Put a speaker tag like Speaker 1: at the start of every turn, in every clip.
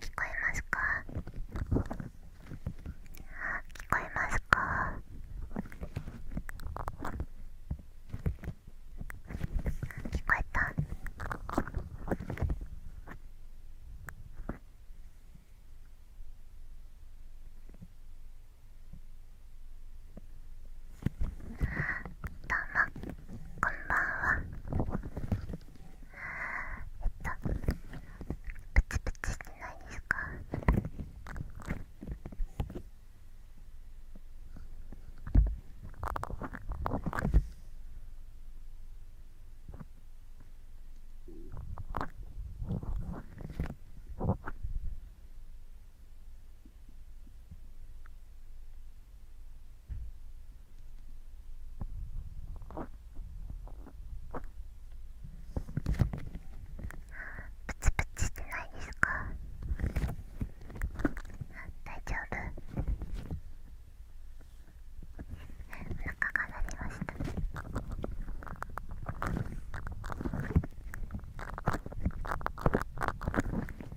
Speaker 1: 聞こえますか聞こえますか聞こえたどうもこんばんはえっとプチプチしてないですかえっプチプチしてないですか大丈夫お腹が鳴りました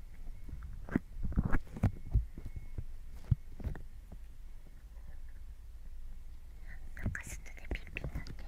Speaker 1: なんか外でピンピンなって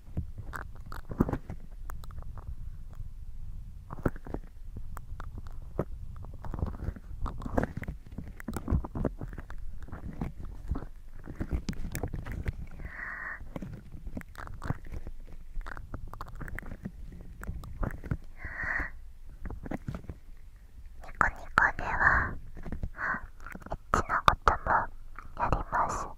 Speaker 1: ニコニコではエッチなこともやります。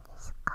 Speaker 1: ですか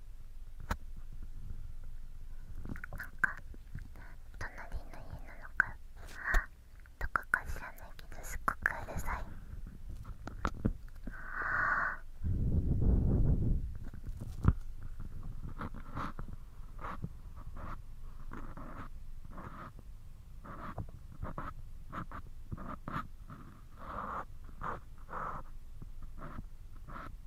Speaker 1: なんか隣の家なのかとかか知らないけどすっごくうるさいあ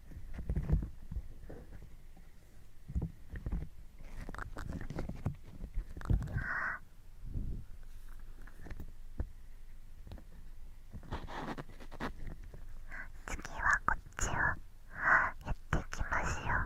Speaker 1: 次はこっちをやっていきますよ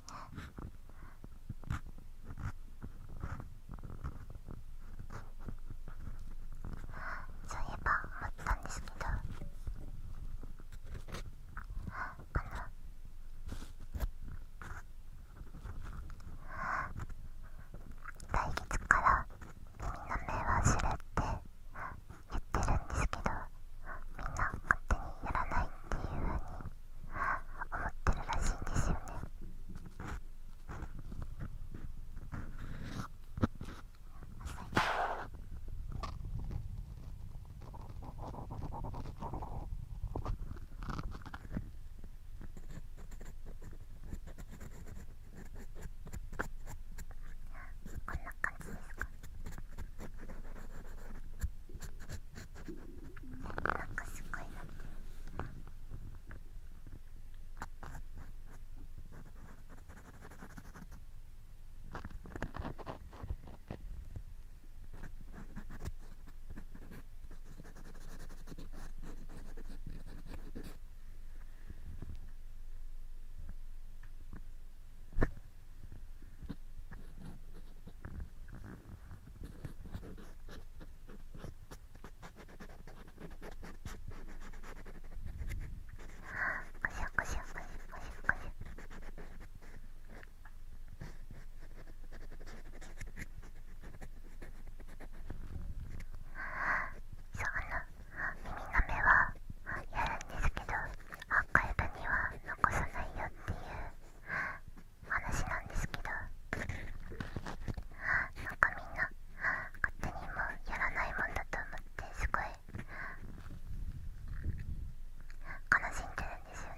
Speaker 1: そういえば思ったんですけどあの来月からみんな目は知れって言ってるんですけどみんな勝手にやらないっていうふうに思ってるらしいんですよねこんな感じですか。なんかすごいなこしこしょこしょこしょこしそうあの耳の目はやるんですけどアーカイブには残さないよっていう話なんですけどなんかみんな勝手にもうやらないもんだと思ってすごい悲しんでるんですよね。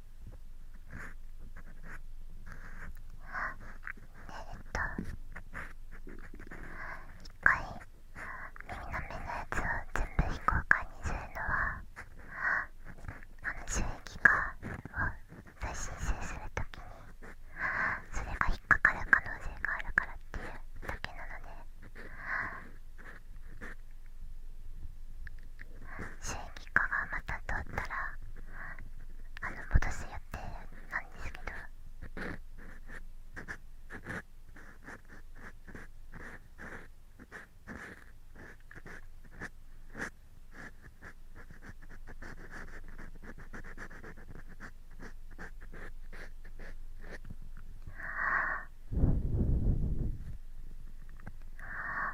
Speaker 1: っえと一回耳の目のやつを全部非公開にするのはあの収益化を再申請するときにそれが引っかかる可能性があるからっていうだけなので収イカがまた通ったらあの戻すって、なんですけどはあ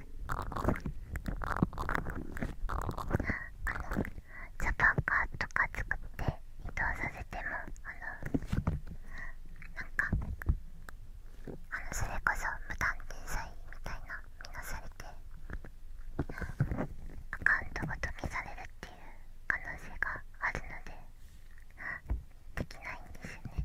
Speaker 1: あのジャパンカーとか作って移動させてもあのなんかあのそれこそ無断転載みたいな見なされてアカウントごと消されるっていう可能性があるのでできないんですよね。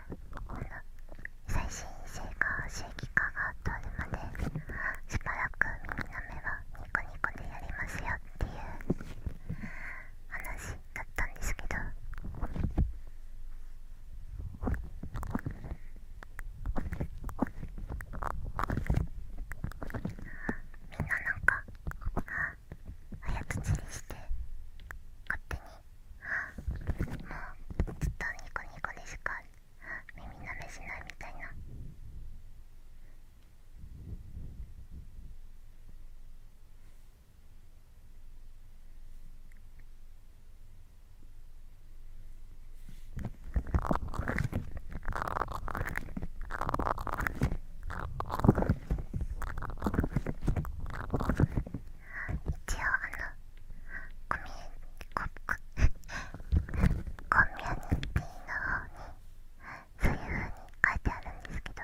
Speaker 1: この最新性か正規化が通るまでしばらく耳の目はニコニコでやりますよっていう話だったんですけど。みんななんか早とちりして勝手にもうずっとニコニコでしか耳なめしないみたいな。一応あのコミュコココミュニティーの方にそういうふうに書いてあるんですけど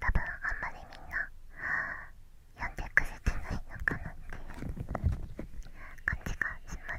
Speaker 1: 多分あんまりみんな読んでくれてないのかなっていう感じがします。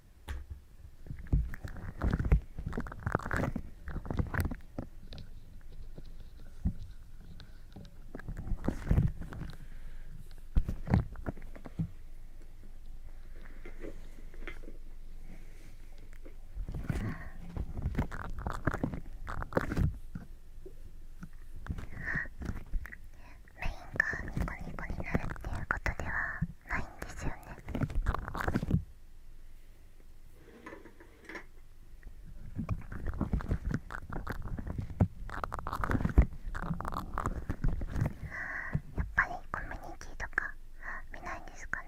Speaker 1: メインがニコニコになるっていうことではないんですよねやっぱりコミュニティとか見ないんですかね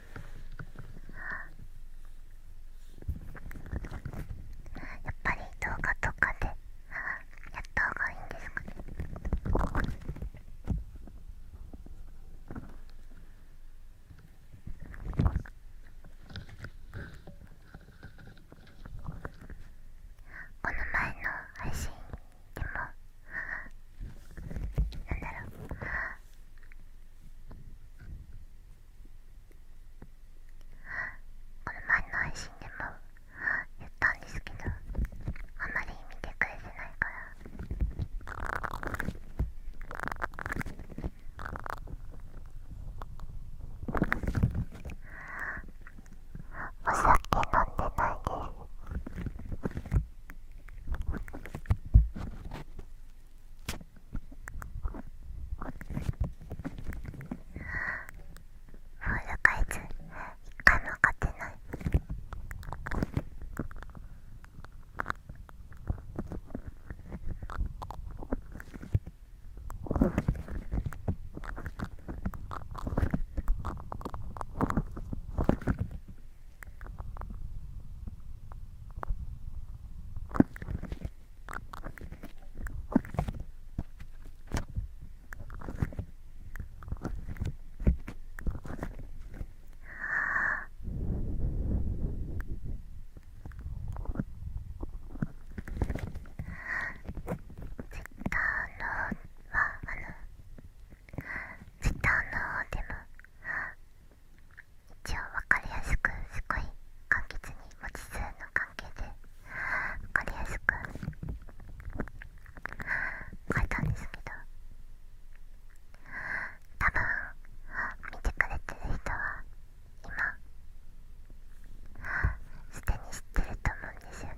Speaker 1: やっぱり動画とかでやったほうがいいんですかねこの前の配信でもなんだろうこれ前の配信でも言ったんですけどあまり見てくれてないから。お酒飲んでないですフォールカイズ一回も勝てないツイッターの方でも一応分かりやすくすごい簡潔に文字数の関係で分かりやすく書いたんですけど多分見てくれてる人は今すでに知ってると思うんですよね。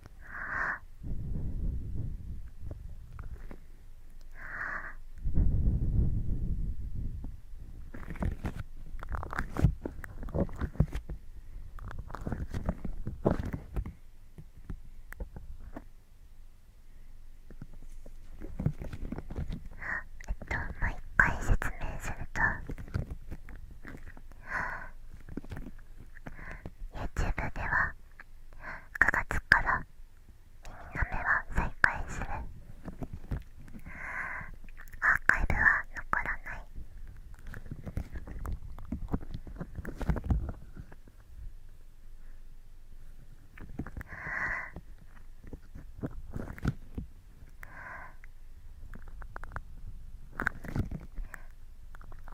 Speaker 1: えっともう一回説明すると YouTube では9月から耳の目は再開するアーカイブは残らない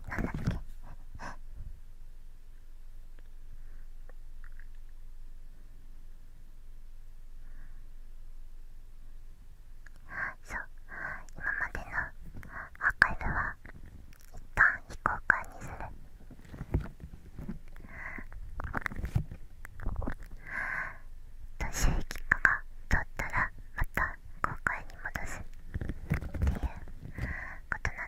Speaker 1: なだっけそう今までのアーカイブは一旦非公開にすると収益化が取ったらまた公開に戻すっていうことなで。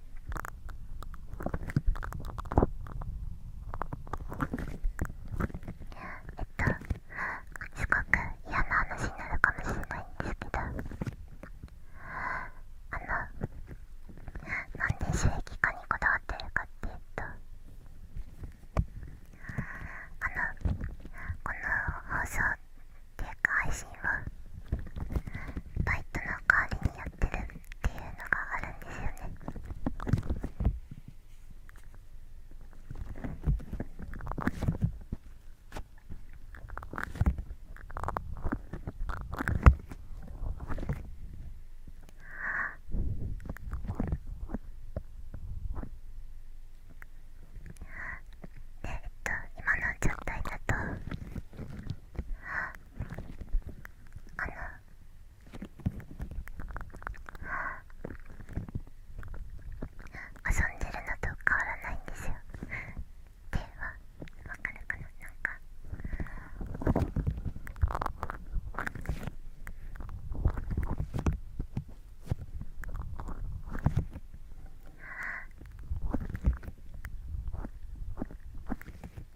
Speaker 1: とすごく嫌な話になるかもしれないんですけどあのなんで収益化にこだわってるかっていうとあのこの放送っていうか配信は。バイトの代わりにやってるっていうのがあるんですよね。えっと今の状態だとあの遊んでるのと変わらないんですよ手は分かるかななんかあ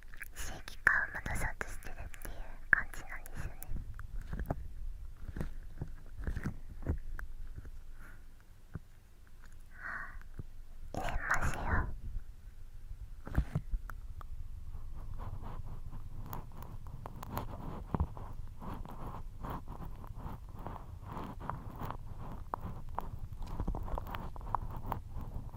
Speaker 1: 正規化を戻そうとしてるっていう感じなんですよね入れますよあ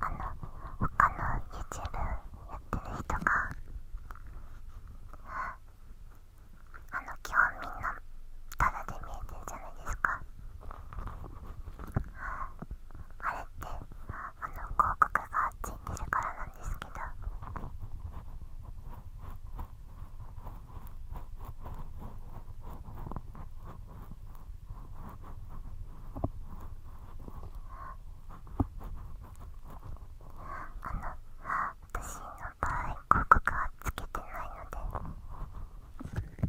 Speaker 1: あの他の YouTube やってる人があの基本みんなタダで見えてるじゃないですかあれってあの広告がついてるからなんですけど。ああ、私の場合こ告はつけてないので売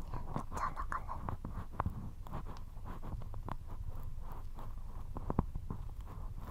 Speaker 1: っちゃうのかなあ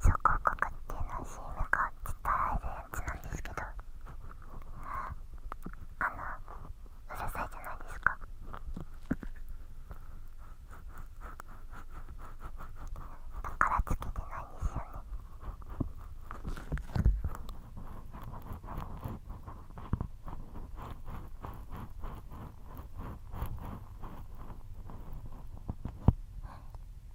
Speaker 1: 諸かかってないし、のは CM が伝えられるやつなんですけどあのうるさいじゃないですかだからつけてないんですよねあ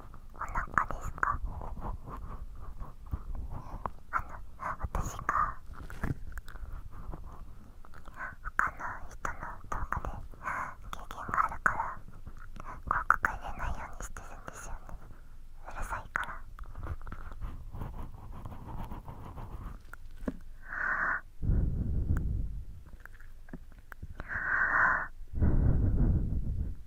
Speaker 1: お腹ですかあの私が他の人の動画で経験があるから広告入れないようにしてるんですよねうるさいからあ。あ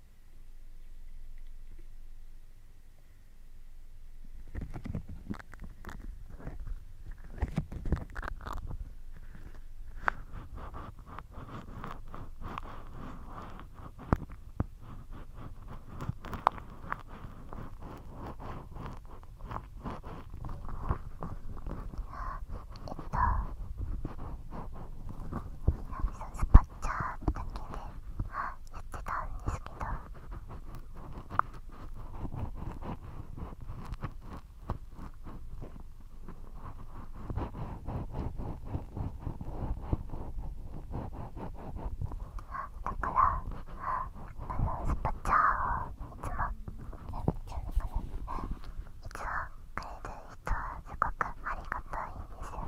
Speaker 1: スパかちゃんだけでやってたんですけどだからあのスパチャをいつもやっちゃうのかな。いつもくれとすごくありがたいんですよね。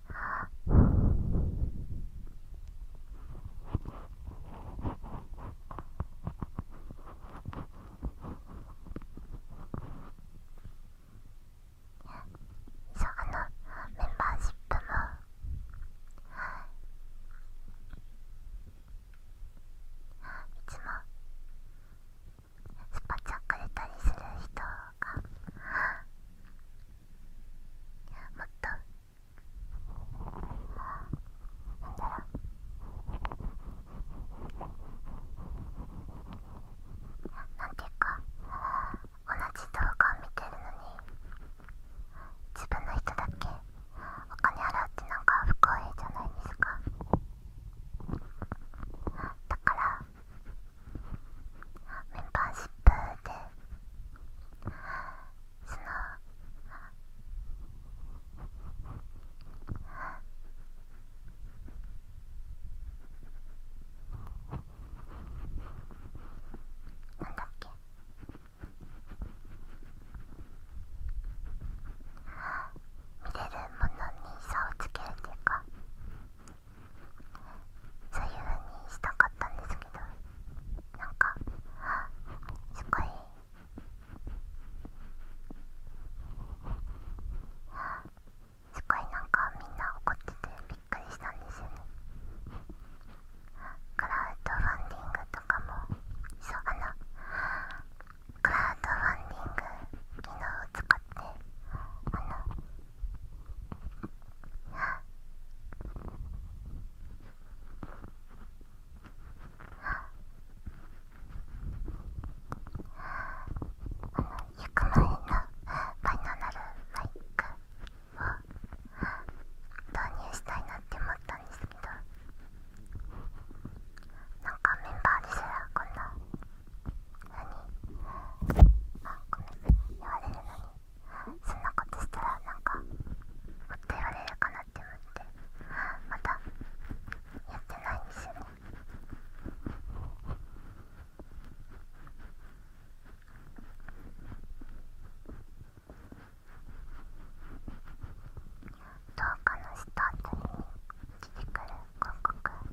Speaker 1: そうあのメンバーシップもいつもスパチャくれたりする人がもっとなんだろうなんていうか同じ動画を見てるのに自分の人だけお金払うってなんか不公平じゃないですかだからメンバーシップでそのなんだっけ見れるものに差をつけるっていうかそういうふうにしたかったんですけどなんかすごいすごいなんかみんな怒っててびっくりしたんですよねクラウドファンディングとかもそうあのクラウドファンディング機能を使ってあのゆくまりのバイナナルマイクを導入したいなって思ったんですけどなんかメンバーですらこんなあごめん言われるのにそんなことしたらなんかほっと言われるかなって思ってまだ。やってないんですよね動画のスターに出てくる広告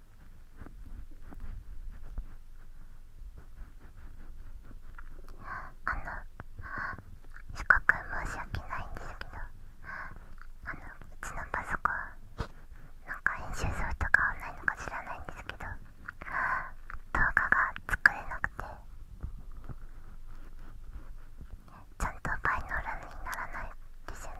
Speaker 1: あのすご申し訳ないんですけどあのうちのパソコンなんか編集ソフトが合わないのか知らないんですけど動画が作れなくてちゃんとバ倍のラムにならないですよね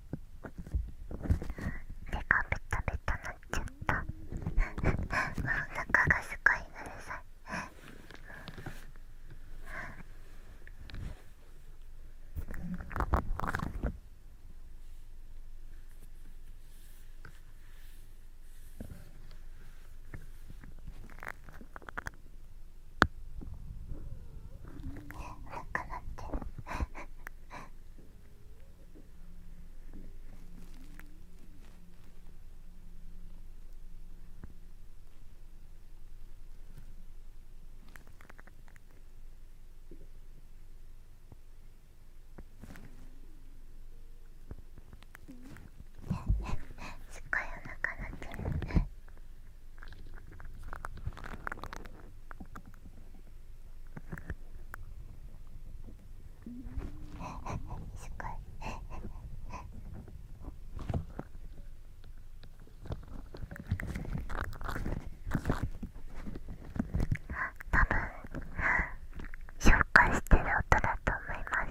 Speaker 1: 手がベタベタなっちゃったまあお腹がすごいのでさお腹なってるすっごいお腹鳴ってるね。すごい多分紹介してる音だと思います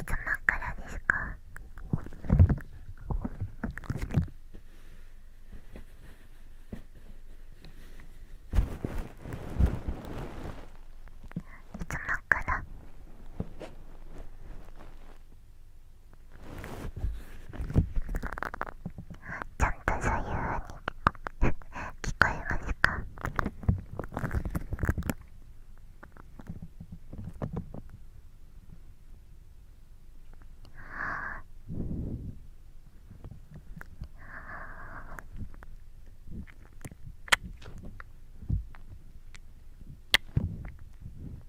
Speaker 1: いつもからですかいつもから。ちゃんと左右に聞こえますかあ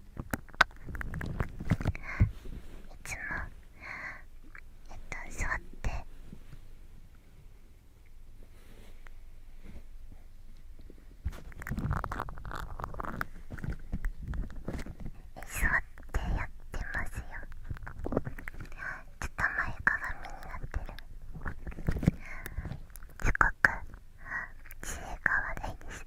Speaker 1: いつもえっと座って座ってやってますよちょっと前かがみになってるすごく知恵が悪いです。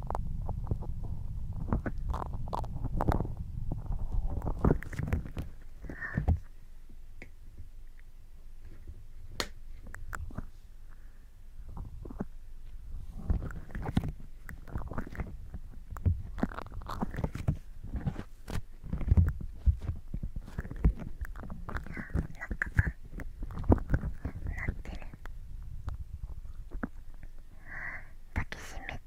Speaker 1: 抱きしめて。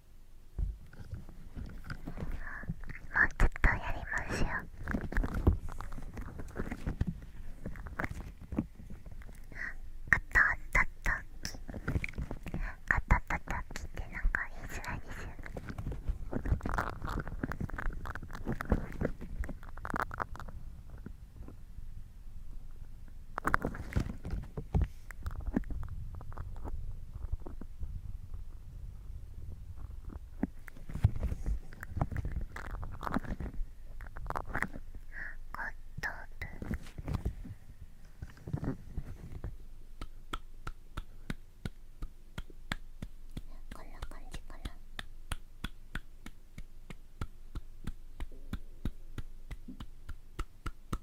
Speaker 1: もうちょっとやりましょうあたたたきあたたたきってなんか言いづらいですよねこんな感じかな。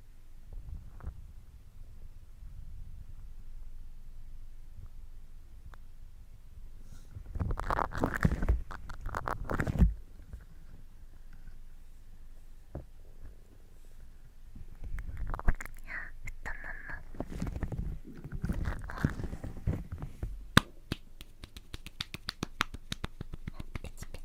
Speaker 1: ペチペチ。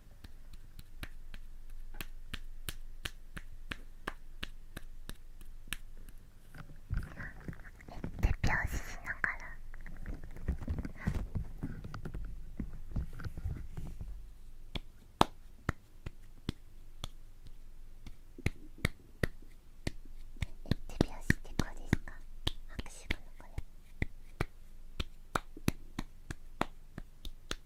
Speaker 1: 手拍子しながら手拍子ってこうですか拍手かなこ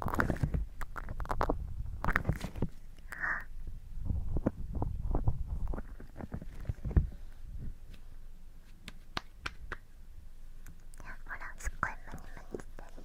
Speaker 1: ほらすっごいムニムニしてる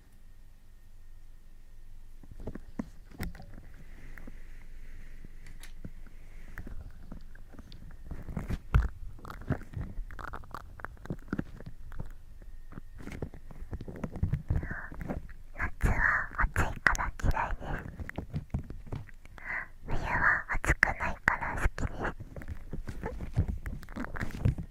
Speaker 1: 夏は暑いから嫌いです冬は暑くないから好きです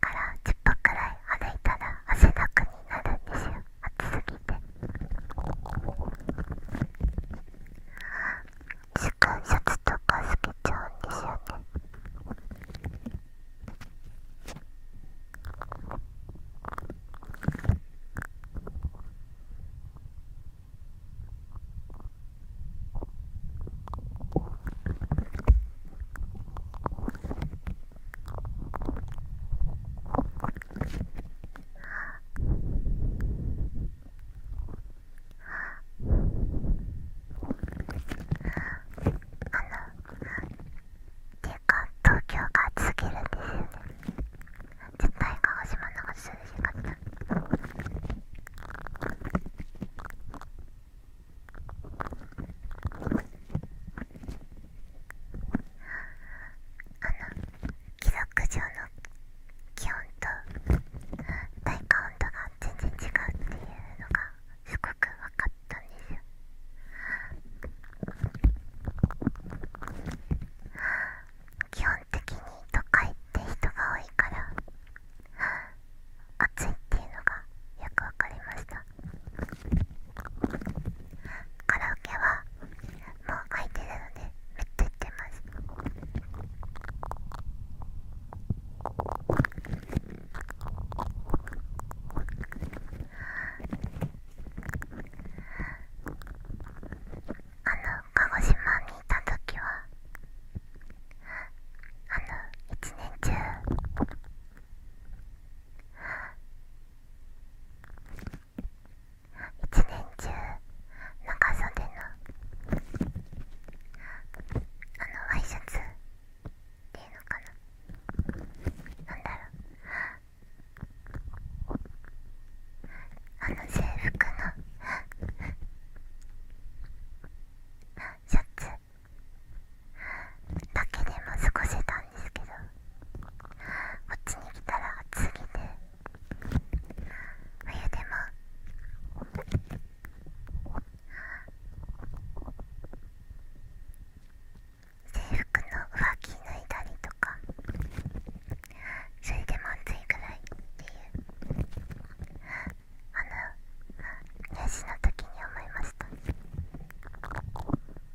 Speaker 1: から10分くらい歩いたら汗だくになるんですよ暑すぎて間シャツとか透けちゃうんですよねあの。っていうか東京が続けるんですよね絶対鹿児島の方が涼しかったああの貴族上の気温と体感温度が全然違うっていうのがすごく分かったんですよ基本的に都会って人が多いから暑いっていうのがよく分かりましたカラオケはもう書いてるのでめっちゃ行ってますあの鹿児島にいた時はあの一年中。一年中長袖のあのワイシャツっていうのかななんだろうあの制服のシャツだけでも過ごせたんですけどこっちに来たら暑すぎて冬でも制服の上着脱いだりとかそれでまずいくらいっていうあの入試の時に思いました。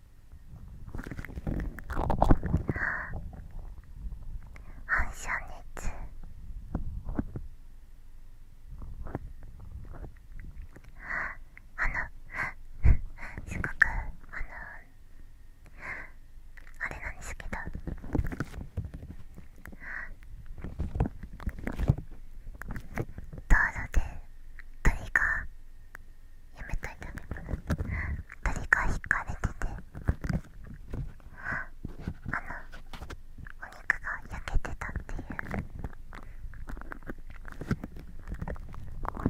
Speaker 1: あ。反射熱あのすごくあのあれなんですけど道路で鳥がめといたね誰かひかれててあのお肉が焼けてたっていうあ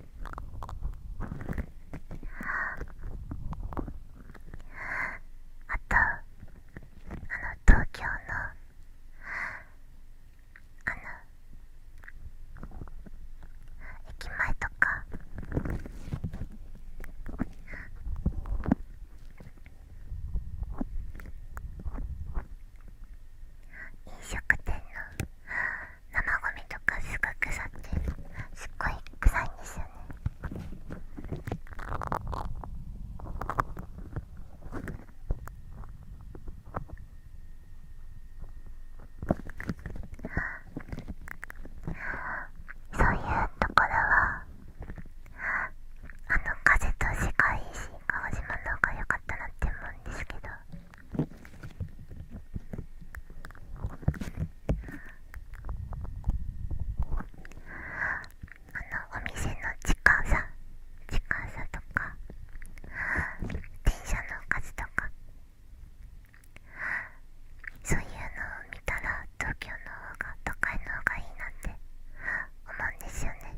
Speaker 1: あとあの東京のあの駅前とか飲食店の生ゴミとかすぐ腐ってすっごい臭いんですよねそういうところはあの風と世い維新川島の方が良かったなって思うんですけど。あのお店の近さ近さとか電車の数とかそういうのを見たら東京の方が都会の方がいいなって思うんですよね。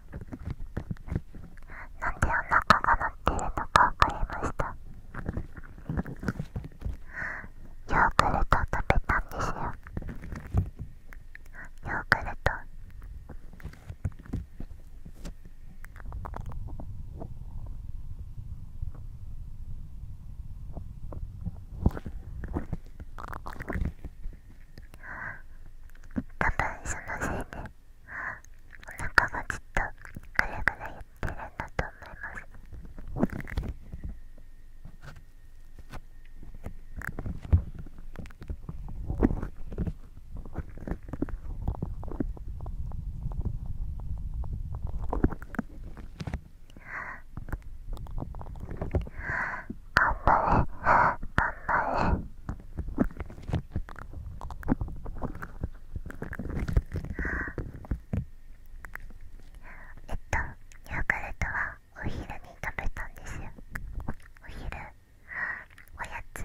Speaker 1: なんでお腹が鳴ってるのか分かりましたヨーグルト食べたんですよヨーグルト多分そのせいでお腹がちっとぐらぐら言ってるんだと思います頑張れん張れえっとヨーグルトはお昼に食べたんですよお昼おやつ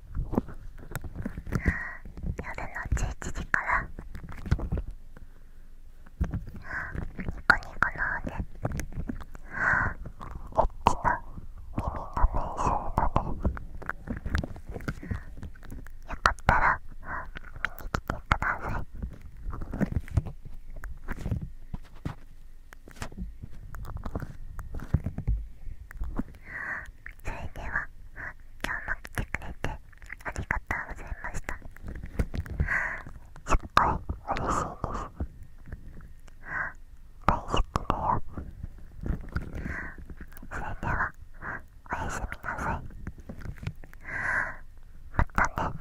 Speaker 1: 夜の11時からニコニコのねエッチな耳の練習のねよかったら見に来てくださいそれでは今日も来てくれてありがとうございましたすっごい嬉しいです大好きだよそれではおやすみなさいまたね